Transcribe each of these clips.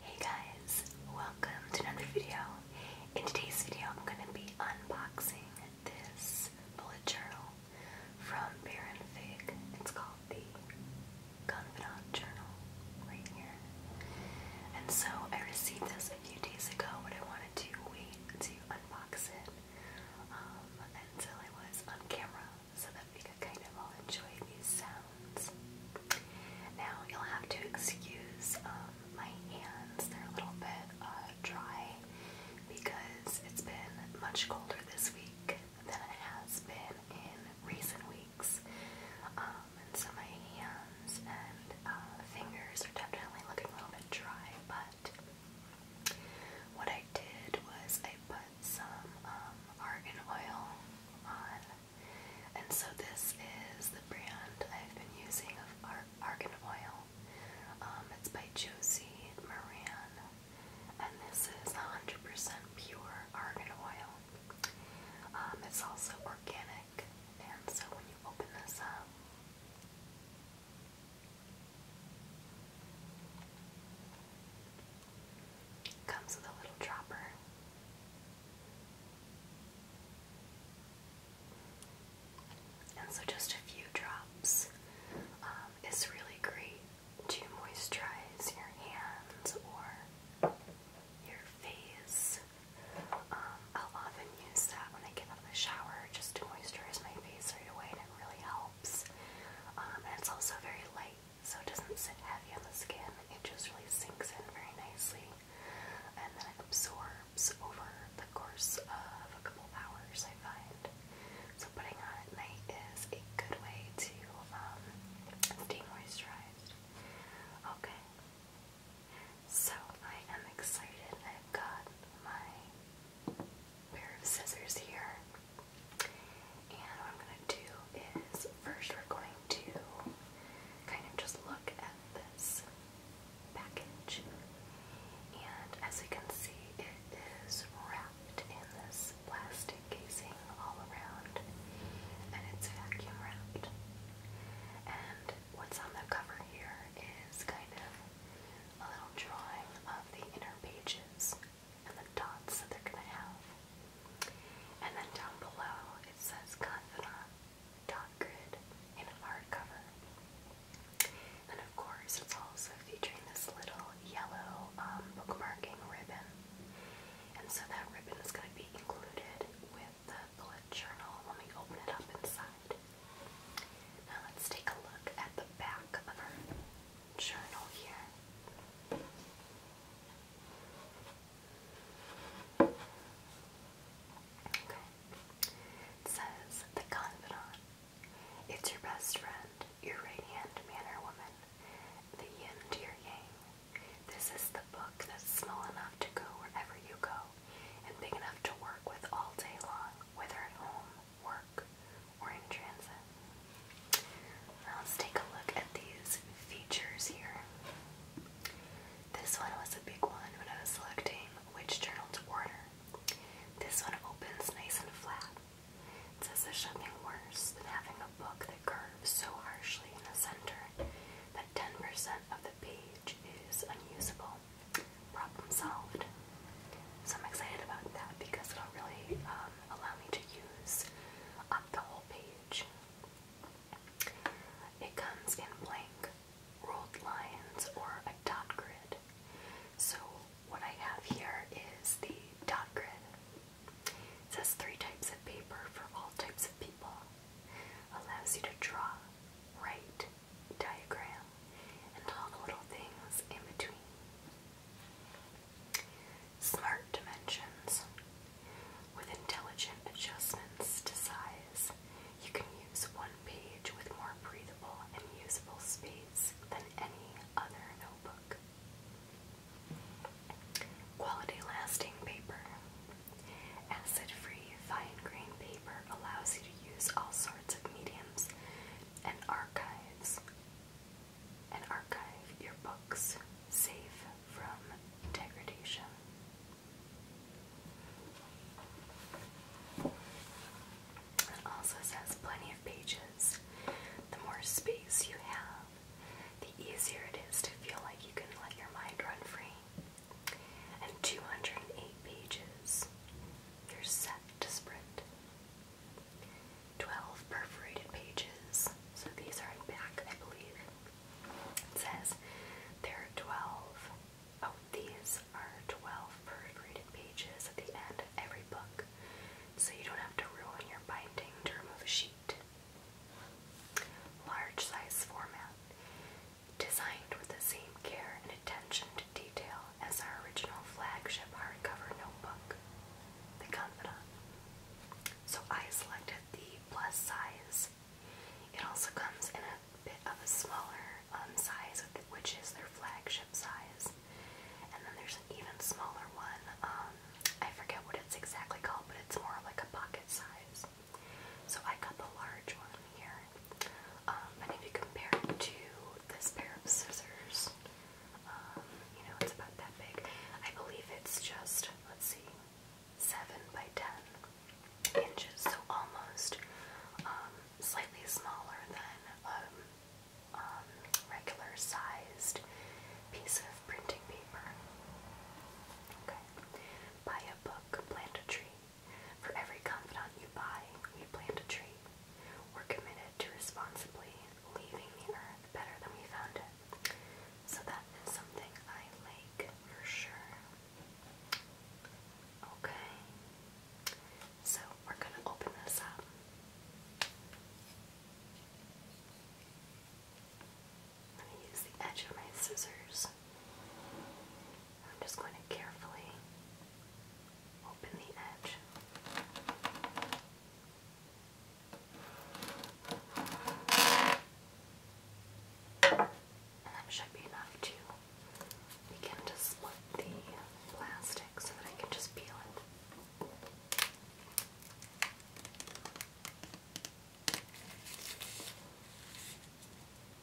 Hey guys, welcome to another video. In today's video, I'm going to be unboxing this bullet journal from Baron Fig. It's called the Confidant Journal right here. And so I received this a few days ago, but I wanted to wait to unbox it um, until I was on camera so that we could kind of all enjoy these sounds. Now you'll have to excuse um, my hands, they're a little bit uh, dry because it's been much colder this week than it has been in recent weeks. Um, and so my hands and uh, fingers are definitely looking a little bit dry, but what I did was I put some um, argan oil on, and so this is the brand I've been using of argan oil. Um, it's by Josie Moran, and this is 100% pure argan oil. Um, it's also organic, and so when you open this up, Comes with a little dropper. And so just a few drops um, is really great to moisturize your hands or your face. Um, I'll often use that when I get out of the shower just to moisturize my face right away and it really helps. Um, and it's also very light, so it doesn't sit heavy on the skin. It just really sinks in very nicely and then it absorbs over the course of a couple hours, I find. So putting on at night is a good way to um, stay moisturized. Okay. So I am excited. i got my pair of scissors here. And what I'm going to do is first we're going to kind of just look at this package. And as you can see, it is wrapped in this plastic casing all around and it's vacuum wrapped. And what's on the cover here is kind of a little drawing of the inner pages and the dots that they're going to have. And then down below it says Confidant dot grid in an hardcover. And of course it's also featuring this little yellow um, bookmarking ribbon. And so that ribbon is going to be included with the bullet journal when we open it up inside. Now let's take a look at the back of her journal here. Okay. It says the confidant. It's your best friend, your right hand man or woman, the yin to your yang. This is the book that's small enough to go wherever you go and big enough to work with all day long whether at home, work, or in transit. let's take a look at these features here. This one was a big one when I was selecting which journal to order. This one opens nice and flat. It says there's nothing worse than having a book that curves so harshly in the center that 10% of the page is unusable. Problem solved. So I'm excited about that because it'll really um, allow me to use up the whole page. It comes in blank ruled lines or a dot grid. So what I have here is the dot grid. says three types of paper for all types of people. Allows you to draw, write, diagram and all the little things in between. Smart dimensions. With intelligent adjustments to size, you can use one page with more breathable and usable space than any other notebook. Quality lasting paper. Acid free fine grain paper allows you use all sorts of mediums and archives. And archive your books safe from degradation. It also says plenty of pages. The more space you have, the easier it is to feel like you can let your mind run free and 208 pages, you're set to sprint. 12 perforated pages, so these are in back, I believe. It says there are 12, oh, these are 12 perforated pages at the end of every book, so you don't have to ruin your binding to remove a sheet. Large size format. Designed with the same care and attention to detail as our original flagship hardcover notebook, The Confidant. So I selected the plus size. It also comes in a bit of a smaller um, size, which is their flagship size. And then there's an even smaller one. Um, I forget what it's exactly called, but it's more like a pocket size. So I got the large one here. Um, and if you compare it to this pair of scissors, um, you know, it's about that big. I believe it's just, let's see, 7 by 10 inches, so almost um, slightly smaller than a um, um, regular sized piece of printing paper. Okay. Buy a book, plant a tree. For every confidant you buy, we plant a tree. We're committed to responsibly leaving the earth better than we found it. So that is something I like for sure. Okay. So we're going to open this up. I'm going to use the edge of my scissors. I'm just going to carefully open the edge. And that should be enough to begin to split the plastic so that I can just peel it.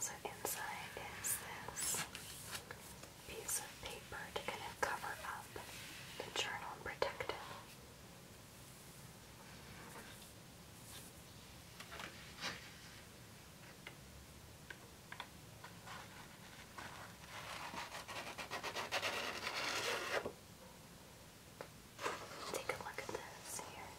So inside is this piece of paper to kind of cover up the journal and protect it. Take a look at this here.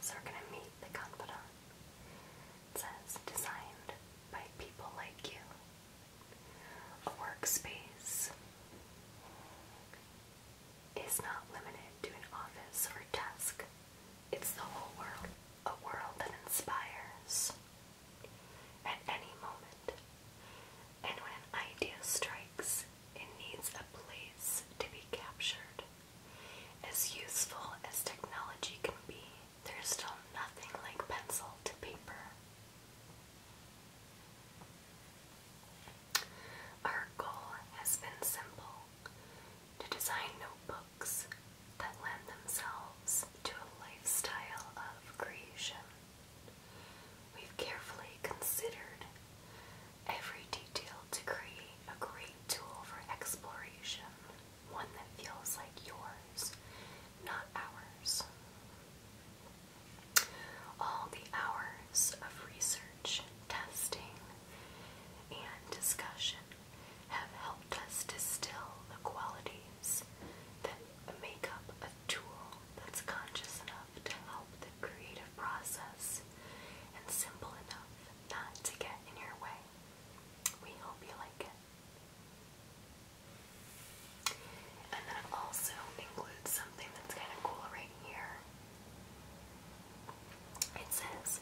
so we're gonna meet the confidant. says designed by people like you. A workspace is not limited to an office or desk, it's the whole world, a world that inspires at any moment. And when an idea strikes, it needs a place to be captured. As useful as technology can be, there's still nothing like pencil to paper. Our goal has been simple to design notebooks that lend themselves to a lifestyle of creation. We've carefully considered every detail to create a great tool for exploration, one that feels like yours, not ours all the hours of research, testing, and discussion have helped us distill the qualities that make up a tool that's conscious enough to help the creative process and simple enough not to get in your way. We hope you like it. And then also includes something that's kind of cool right here. It says,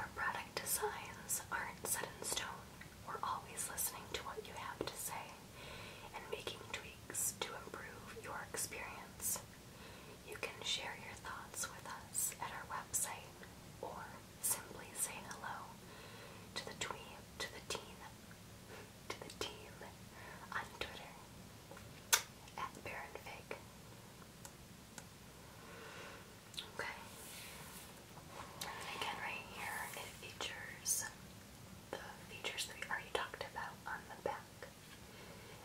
Our product designs aren't set in stone. We're always listening to what you have to say and making tweaks to improve your experience. You can share your thoughts with us at our website or simply say hello to the tweet to the teen to the team on Twitter at Baron Okay. And again right here it features the features that we already talked about on the back.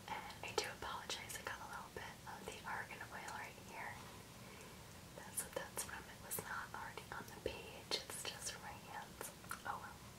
And I do apologize, I got a little bit of the argan oil right here. That's that's from. It was not already on the page, it's just from Oh well.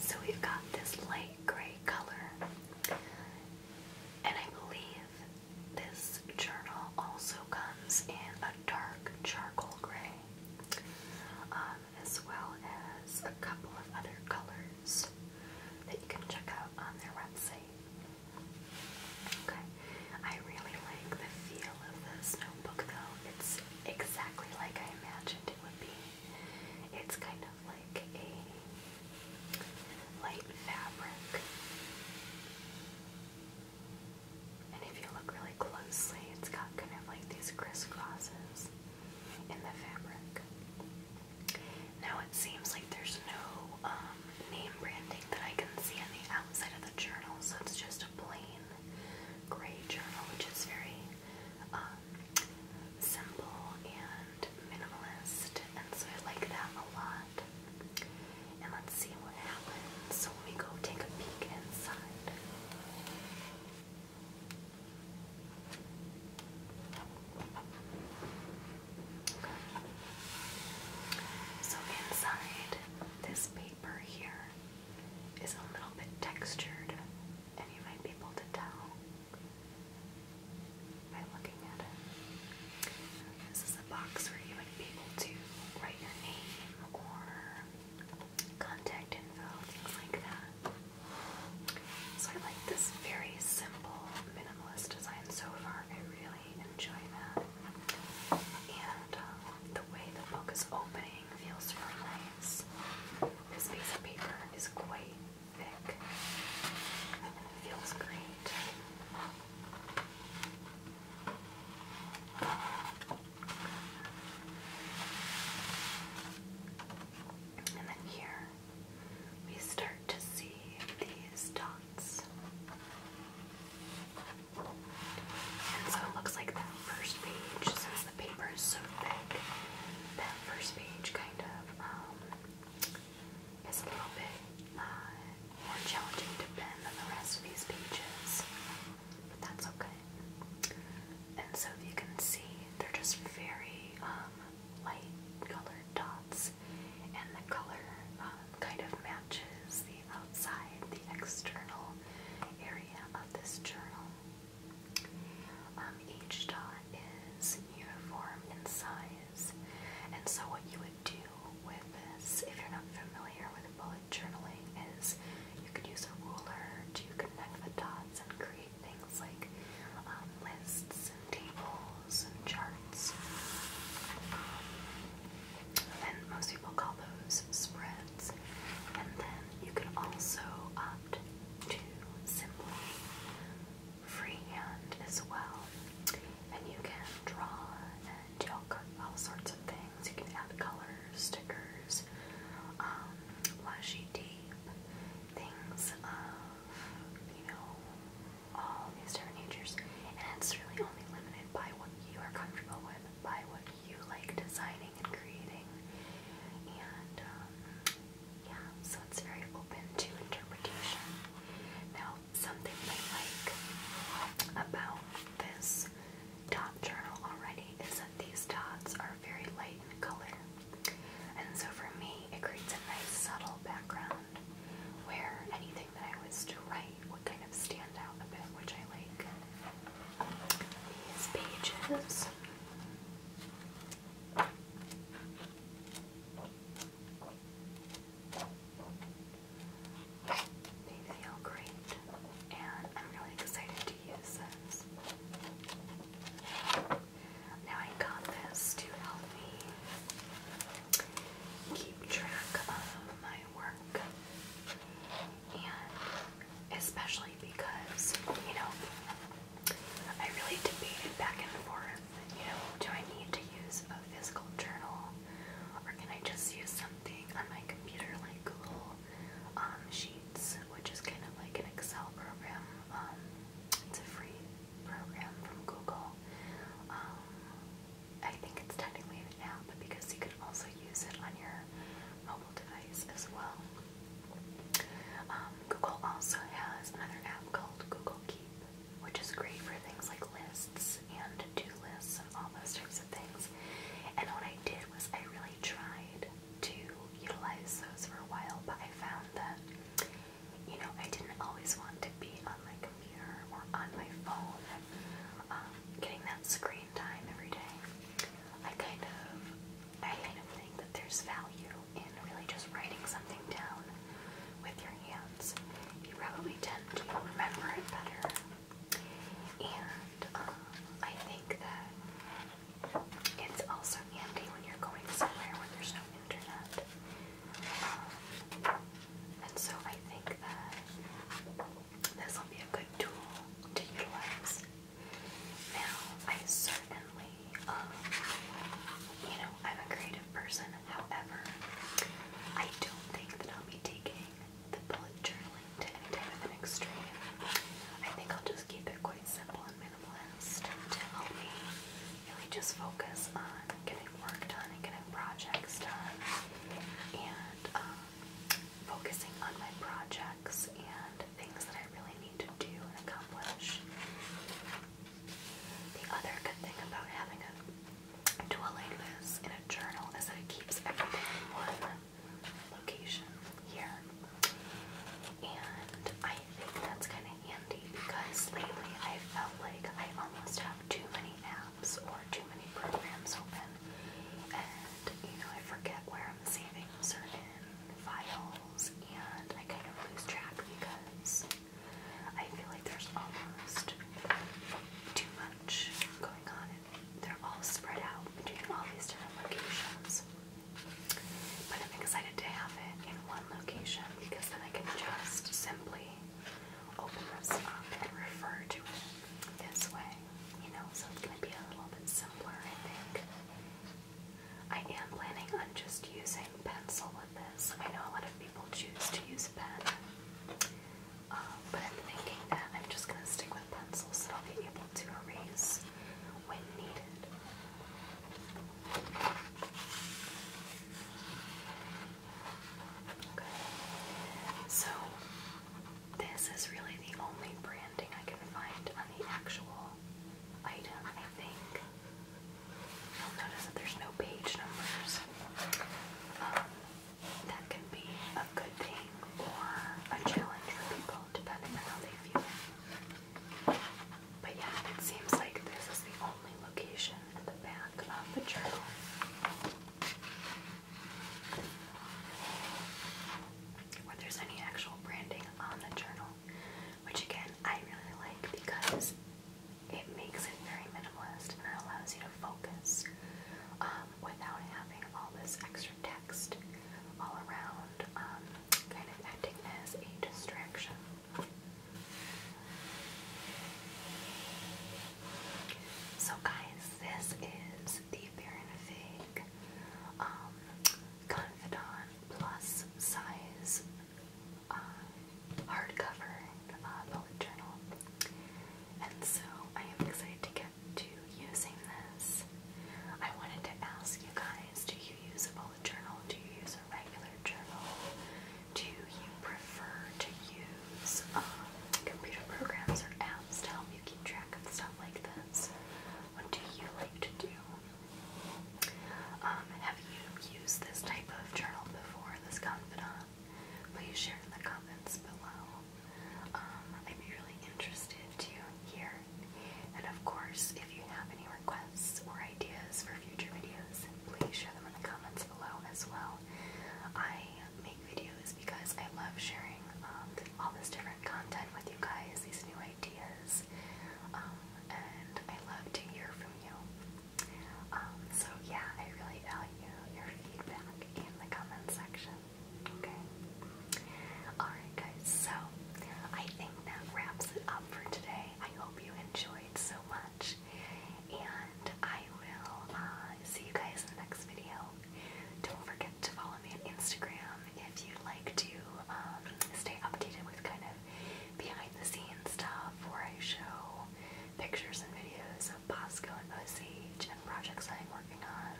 So we've got this light gray color, and I believe this journal also comes in a dark charcoal gray okay? Um, as well as a couple of other colors that you can check out on their website. Okay, I really like the feel of this notebook though. It's exactly like I imagined it would be. It's kind of like a light fabric. And if you look really closely, it's got kind of like these crisscrosses in the fabric. Now it seems like there's no um, name branding that I can see on the outside of the journal, so it's just a plain gray journal, which is very um, simple and minimalist, and so I like that a lot. And let's see so happens when we go take a peek inside. So inside this paper here is a little bit textured, and you might be able to tell by looking at it. This is a box where you would be able to write your name or contact info, things like that. So I like this very simple minimalist design so far. I really enjoy that. And uh, the way the book is opening feels really nice. This piece of paper is quite thick and it feels great. And then here we start to see these dots. And so it looks like that first page, since the paper is so thick, that first page kind of um, is a little bit uh, more challenging to bend than the rest of these pages. But that's okay. And so if you can see, they're just very um, light colored dots, and the color um, kind of matches the outside, the external area of this journal. Um, each dot is uniform in size, and so what you would do with this, if you're not familiar with bullet journaling, is you could use a ruler to connect the dots and create things like um, lists and tables and charts. Um, and most people call those spreads. And then you could also opt to simply freehand as well. And you can draw chalk up all sorts of things. You can add colors, stickers, um, washi tape, things of, you know, all these different natures. And it's really only limited by what you are comfortable with, by what you like designing and creating. And, um, yeah, so it's very open to interpretation. Now, something I like about this dot journal already is that these dots are very light in color. And so for me, it creates a nice subtle background where anything that I was to write would kind of stand out a bit, which I like. These pages. They feel great, and I'm really excited to use this. Now I got this to help me keep track of my work, and especially because, you know, I really debated back and forth, you know, do I need to use a physical journal or can I just use something on my computer like Google um, sheets, which is kind of like an Excel program. Um, it's a free program from Google. Um, I think it's technically an app because you can also use it on your mobile device as well. Google also has another app called Google Keep, which is great for things like lists lists and to-do lists and all those types of things. And what I did was I really tried to utilize those for a while, but I found that, you know, I didn't always want to be on my computer or on my phone, um, getting that screen time every day. I kind of, I kind of think that there's value in really just writing something down with your hands. You probably tend to remember it better and um, I think that it's also handy when you're going somewhere where there's no internet. Um, and so I think that this will be a good tool to utilize. Now, I certainly, um, you know, I'm a creative person, however, I don't think that I'll be taking the bullet journaling to any type of an extreme. I think I'll just keep it quite simple and minimalist to help me really just focus on getting work done and getting projects done and um, focusing on my projects and things that I really need to do and accomplish. The other good thing about having a tool like this in a journal is that it keeps everything in one location here. And I think that's kind of handy because lately I felt like I almost have too many apps or too many programs open. And, you know, I forget where I'm saving certain files and I kind of lose track because I feel like there's almost too much going on at they're all spread out between all these different locations. But I'm excited to have it in one location because then I can just simply open this up and refer to it this way, you know, so it's going to be a little bit simpler, I think. I am planning on just using pencil with this. I know a lot of people choose to use pen. Um, but I'm thinking that I'm just going to stick with pencils that I'll be able to erase when needed. Okay. So, this is really the only branding I can find on the actual item, I think. You'll notice that there's no page numbers. Um, that can be a good thing or a challenge for people depending on how they feel. But yeah, it seems like this is the only location at the back of the journal. Where there's any actual branding on the journal, which again I really like because it makes it very minimalist and allows you to focus um, um, without having all this extra text all around, um, kind of acting as a distraction. So, guys, this is the Baron Fig um, Confidant Plus Size uh, hardcover uh, bullet journal. And so I am excited to get to using this. I wanted to ask you guys do you use a bullet journal? Do you use a regular journal? Do you prefer to use um, computer programs or apps to help you keep track of stuff like this? What do you like to do? Um, have you used this type of journal before, this confidant? please share in the comments below. Um, I'd be really interested to hear. And of course, if you have any requests or ideas for future videos, please share them in the comments below as well. I make videos because I love sharing um, all this different content with you guys, these new ideas, um, and I love to hear from you. Um, so yeah, I really value your feedback in the comment section. Okay? Alright, guys, so I think that wraps it up for today. I hope you enjoyed so much, and I will uh, see you guys in the next video. Don't forget to follow me on Instagram if you'd like to um, stay updated with kind of behind the scenes stuff where I show pictures and videos of Bosco and Osage and projects I'm working on.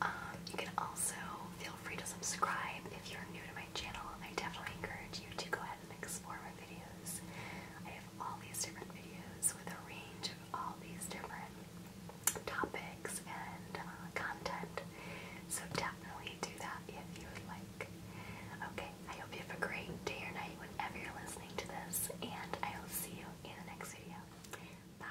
Um, you can also feel free to subscribe if you're new to my channel. I definitely encourage you to go ahead and explore my videos. I have all these different videos with a range of all these different topics and uh, content. So definitely do that if you would like. Okay, I hope you have a great day or night whenever you're listening to this, and I will see you you in the next video. Bye.